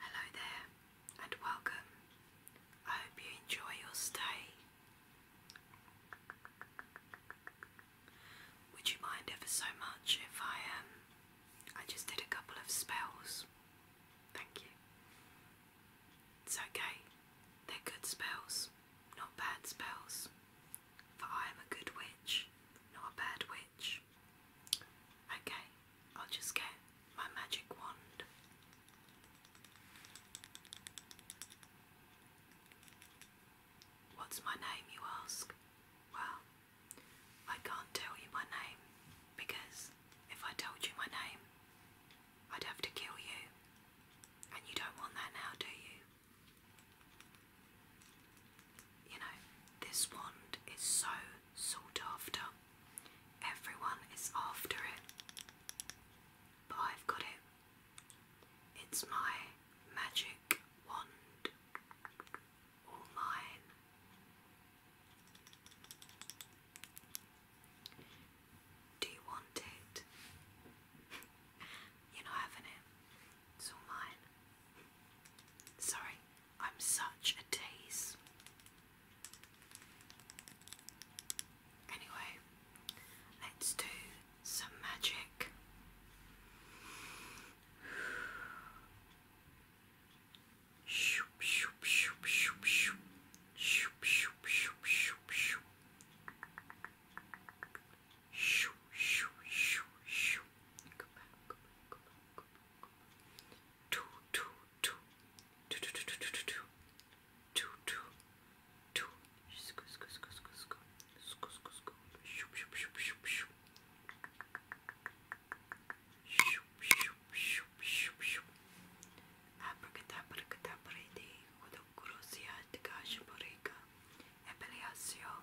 Hello there and welcome. I hope you enjoy your stay. Would you mind ever so much if I um I just did a couple of spells? Thank you. It's okay. They're good spells, not bad spells. For I am a good witch, not a bad witch. Okay, I'll just get my magic wand. What's my name, you ask? Well, I can't tell you my name because if I told you my name, I'd have to kill you. And you don't want that now, do you? You know, this wand is so sought after. Everyone is after it. But I've got it. It's my magic wand. All mine. Do you want it? You're not having it. It's all mine. Sorry, I'm such a tease. Anyway, let's do some magic. Shoo, shoo, shoo, shoo. Go back, go back, go back, go back, go back. Two, two, two. Two, two, two, two, two, two, two. Two, two, two. Sco, sco, sco, sco, sco. Sco, sco, sco. Shoo, shoo, shoo, shoo, shoo. Shoo, shoo, shoo, shoo, shoo. Abracadabra, cadabra, de. Odo, grosia, de gash, borega. Ebeliasio.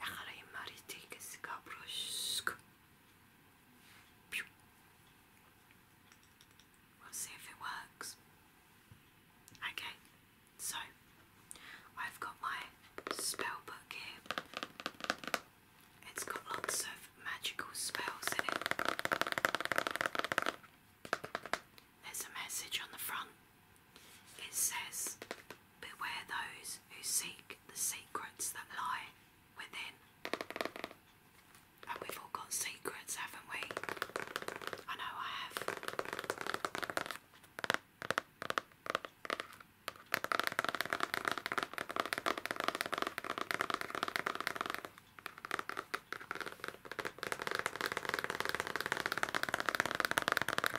Egarayı mariti kesi kabroşk. We'll see if it works. Okay, so I've got my spell book here. It's got lots of magical spells in it. There's a message on the front it says, Beware those who seek the secrets that lie within. And we've all got secrets, haven't we? I know I have.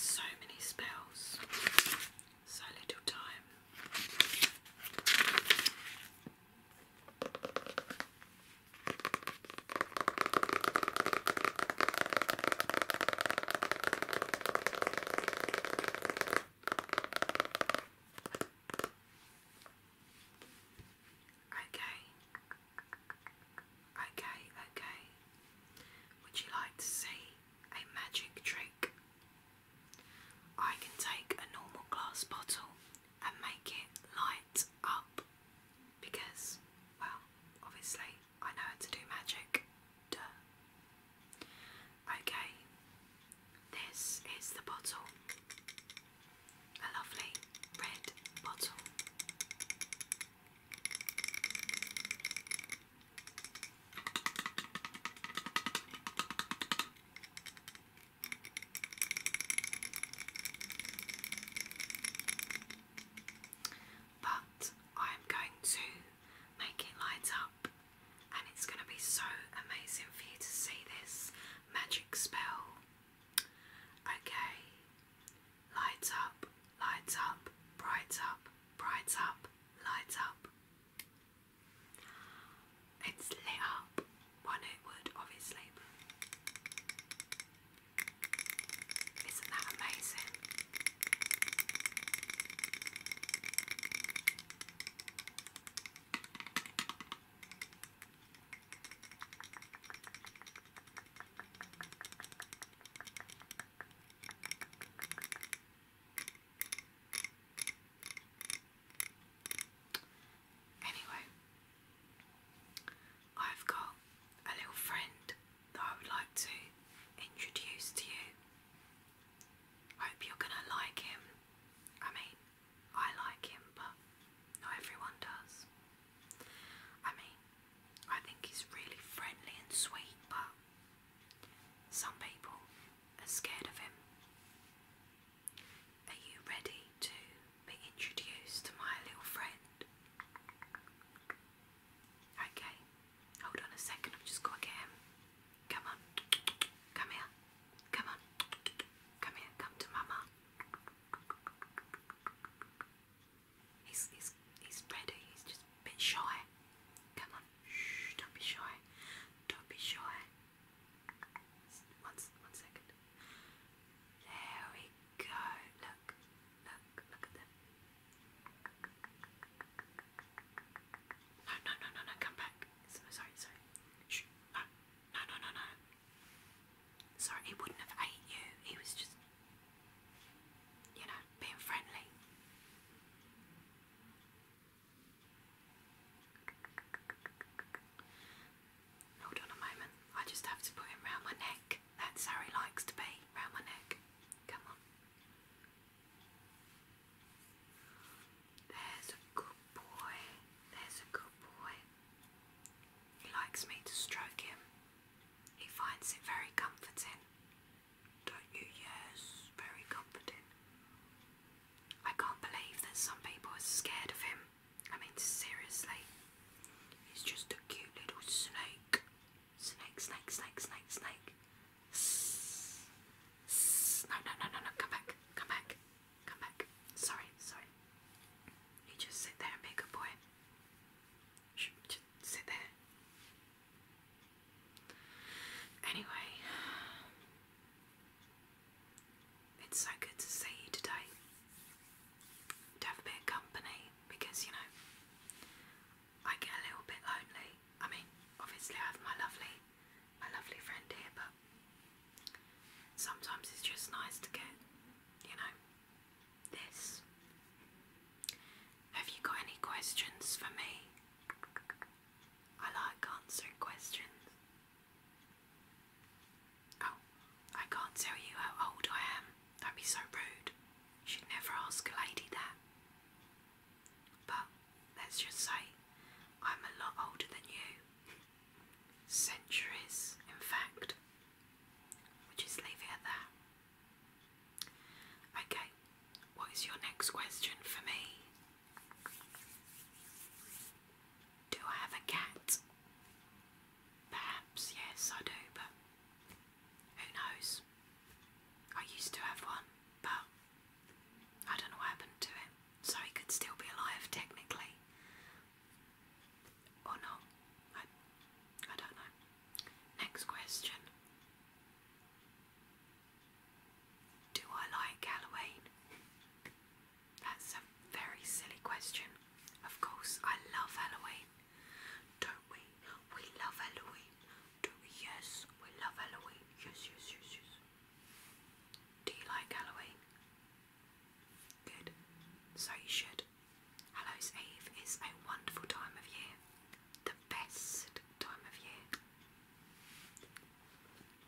So many spells, so little time. Okay. Okay, okay. Would you like to see a magic trick? I can take a normal glass bottle and make it light up because, well, obviously I know how to do magic. Okay. This is the bottle. A lovely red bottle but I'm going to make it light up and it's going to be so amazing for you to see this magic spell. Okay, light up, light up, bright up, bright up, light up. It's lit up, one it would obviously. Isn't that amazing? Anyway, I've got a little friend that I would like to introduce to you. hope you're gonna like him. I mean, I like him, but not everyone does. I mean, I think he's really friendly and sweet, but some people are scared of him. Are you ready to be introduced to my little friend? Okay, hold on a second, I've just got to get him. Come on, come here, come on, come here, come to Mama. He's, he's, he's ready, he's just a bit shy. Come on, shh, don't be shy, don't be shy. One, one second. There we go. Look, look, look at them. No, no, no, no, no, come back. So, sorry, sorry. No, no, no, no, Sorry, he wouldn't have ate you. He was just, you know, being friendly. Hold on a moment. I just have to put him round my neck. That's how he likes to be, round my neck. Come on. There's a good boy. There's a good boy. He likes me to stroke him. He finds it very comforting. Don't you? Yes, very comforting. I can't believe that some people are scared of him. I mean, seriously, it's just a cute little snake. Snake, snake, snake, snake, snake. S S no, no, no, no, no, come back, come back, come back. Sorry, sorry. You just sit there and be a good boy. Shh, just sit there. Anyway, it's so good to see you today. To have a bit of company because you know I get a little bit lonely. I mean, obviously I have my lovely my lovely friend here, but sometimes it's just nice to get, you know, this. Have you got any questions for me? I like answering questions. Oh, I can't tell you how old I am. That'd be so rude. You should never ask a lady that. But let's just say I'm a lot older than you. Centuries, in fact. We'll just leave it at Okay, what is your next question for me? Do I have a cat? Perhaps, yes, I do, but who knows? I used to have one, but I don't know what happened to it, so he could still be alive technically. Or not. I, don't know. Next question. Do I like Halloween? That's a very silly question. Of course, I love Halloween. Don't we? We love Halloween. Do we? Yes, we love Halloween. Yes, yes, yes, yes. Do you like Halloween? Good. So you should. Hallows Eve is a wonderful time of year. The best time of year.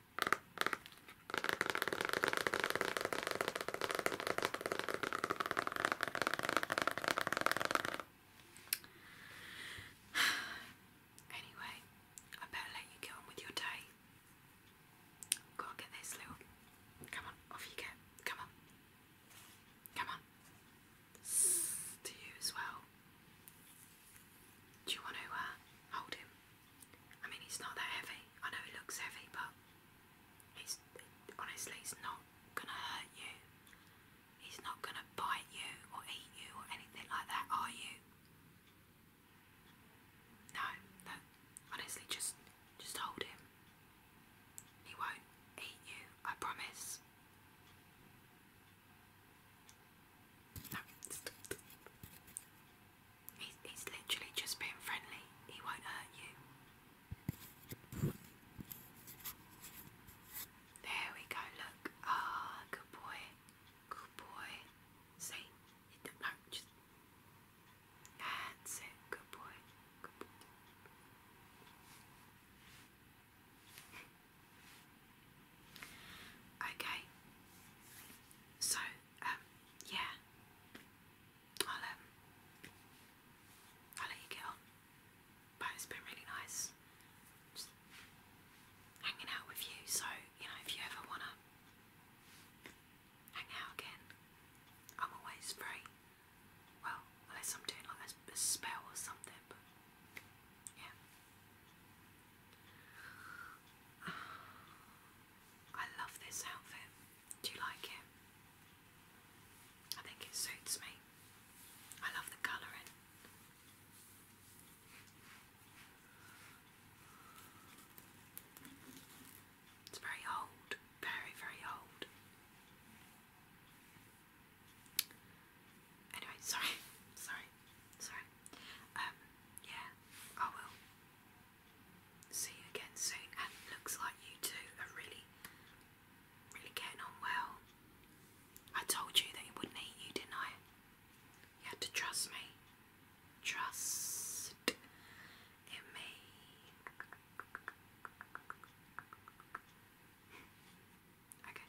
anyway, I better let you get on with your day. Gotta get this little. Come on, off you get. Come on. Come on. to you as well. Do you want to uh, hold him? I mean, it's not that heavy. I know he looks heavy, but he's honestly, he's not gonna hurt you. He's not gonna bite you or eat you or anything like that, are you? No, no. Honestly, just just hold him. He won't eat you. I promise. No. He's, literally just being friendly, he won't hurt you. There we go, look. Ah, good boy. Good boy. See? just. That's it, good boy. Good boy. Okay. So, um, yeah. I'll um I'll let you get on. But it's been really nice. hanging out with you, so you know, if you ever wanna hang out again, I'm always free. Well, unless I'm doing like a, spell or something, yeah. I love this outfit. Do you like it? I think it suits me. I love the colouring. It's very old, very, very old. Anyway, sorry, sorry, sorry. Um, yeah, I will see you again soon. And looks like you two are really, really getting on well. I told you that he wouldn't eat you, didn't I? You had to trust me. Trust in me. Okay.